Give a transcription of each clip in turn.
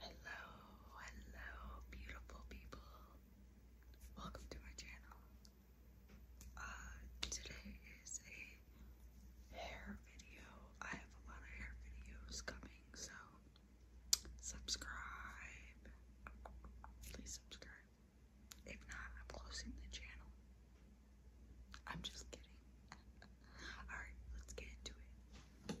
Hello, hello, beautiful people. Welcome to my channel. Uh, today is a hair video. I have a lot of hair videos coming, so subscribe. Please subscribe. If not, I'm closing the channel. I'm just kidding. Alright, let's get into it.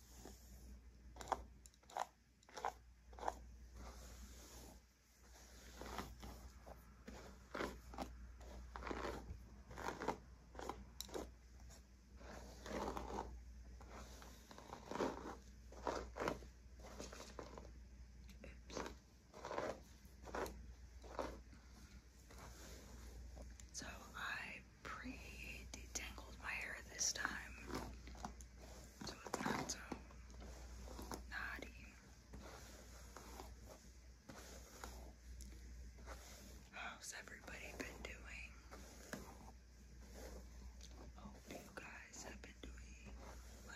So I pre-detangled my hair this time, How's everybody been doing? Hope you guys have been doing well.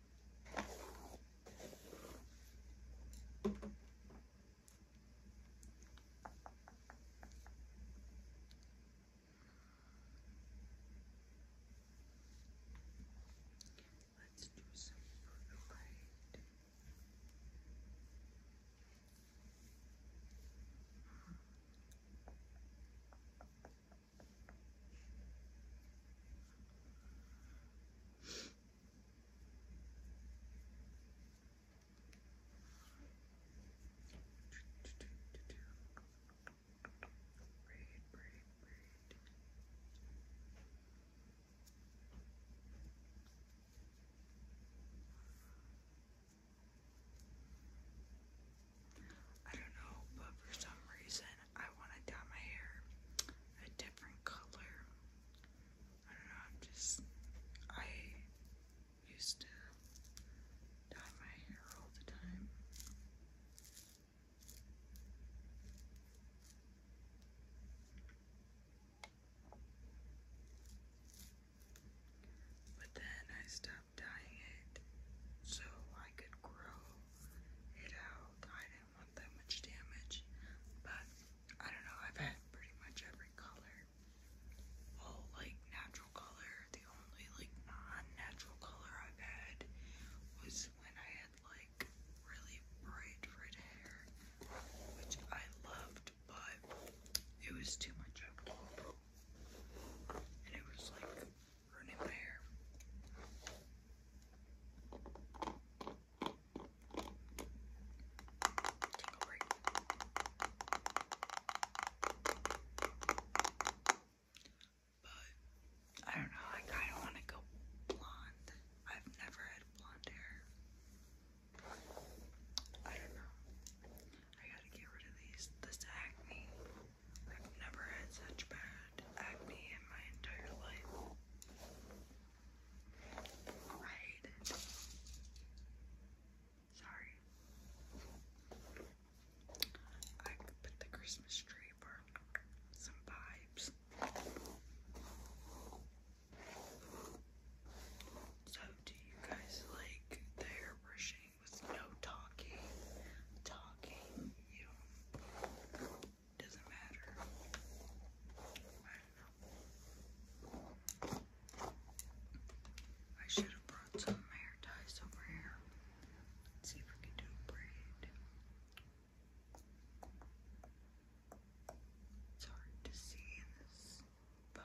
Let's do some brutal Braid, braid, braid. I don't know, but for some reason I want to dye my hair a different color. I don't know, just, I used to dye my hair all the time. But then I stopped dyeing it so I could grow it out. I didn't want that much damage, but I don't know. I've had pretty much every color. Well, like natural color. The only like non-natural color I've had was when I had like really bright red hair, which I loved, but it was too much of a and it was like running my hair. But I don't know, I kind of want to go blonde. I've never had blonde hair. I don't know. I gotta get rid of these. This acne. I've never had such bad acne in my entire life. I hate it. Sorry. I put the Christmas tree for some vibes. So, do you guys like hair brushing no talking, talking, doesn't matter. I I should have brought some hair ties over here. Let's see if we can do a braid. It's hard to see in this phone.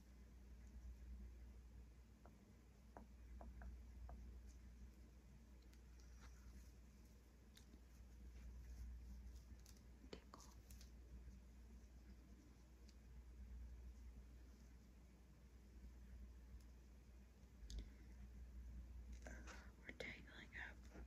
Tickle. Uh, we're tangling up.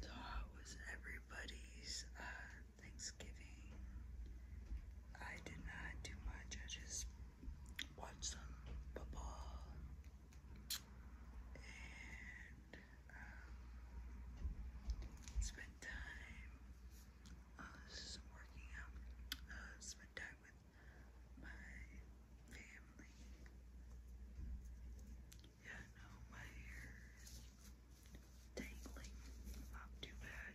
So was everybody's uh, Thanksgiving? I did not do much. I just watched some football and um, spend time uh, working out, uh, spend time with my family. Yeah, no, my hair is dangling, not too bad.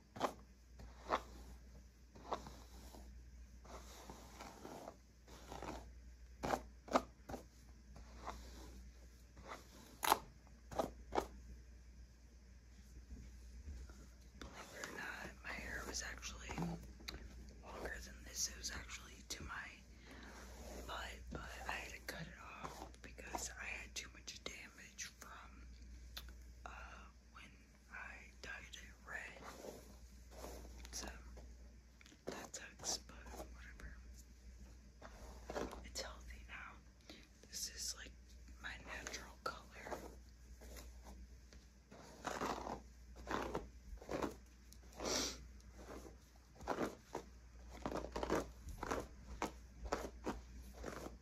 Believe it or not, my hair was actually longer than this. It was actually to my butt, but I had to cut it off because I had too much damage from uh, when I dyed it red. So that sucks, but whatever. It's healthy now. This is like my natural color.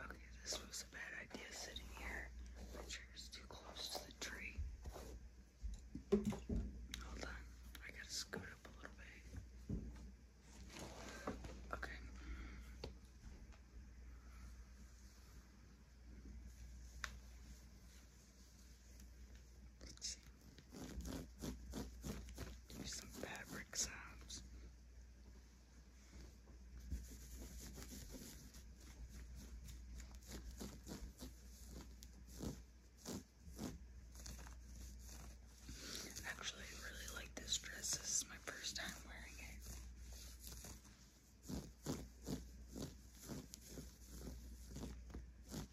Okay, this was a bad idea sitting here. My chair is too close to the tree. Hold on, I gotta scoot up a little bit. Okay. Let's see. Do some fabric sounds. Actually, I really like this dress. This is my first time wearing it.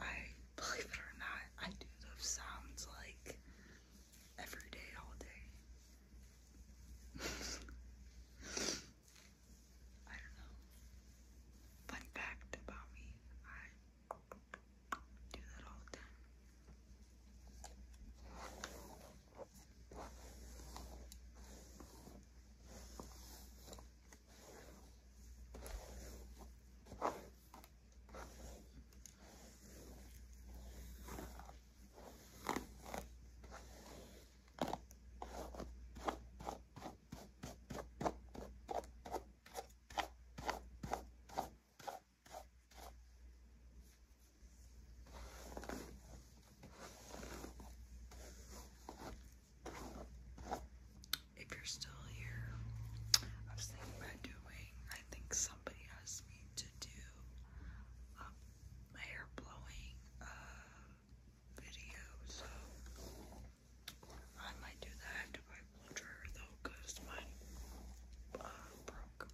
I believe it or not, I do those sounds like every day, all day. I don't know. Fun fact about me, do that all the time. I if you're still here, I was doing, I think somebody asked me to do a um, hair blowing uh, video, so I might do that dryer though, mine broke.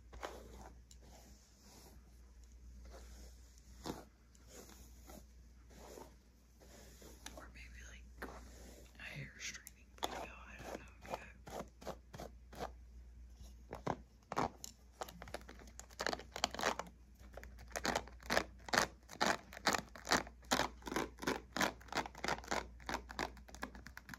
Or maybe like a hair straightening video, I don't know yet.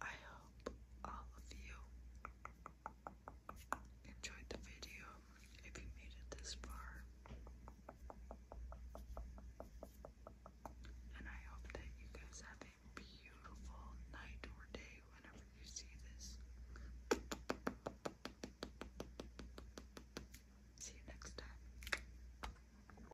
I hope all of you enjoyed the video if you made it this far. And I hope that you guys have a beautiful night or day whenever you see this. See you next time.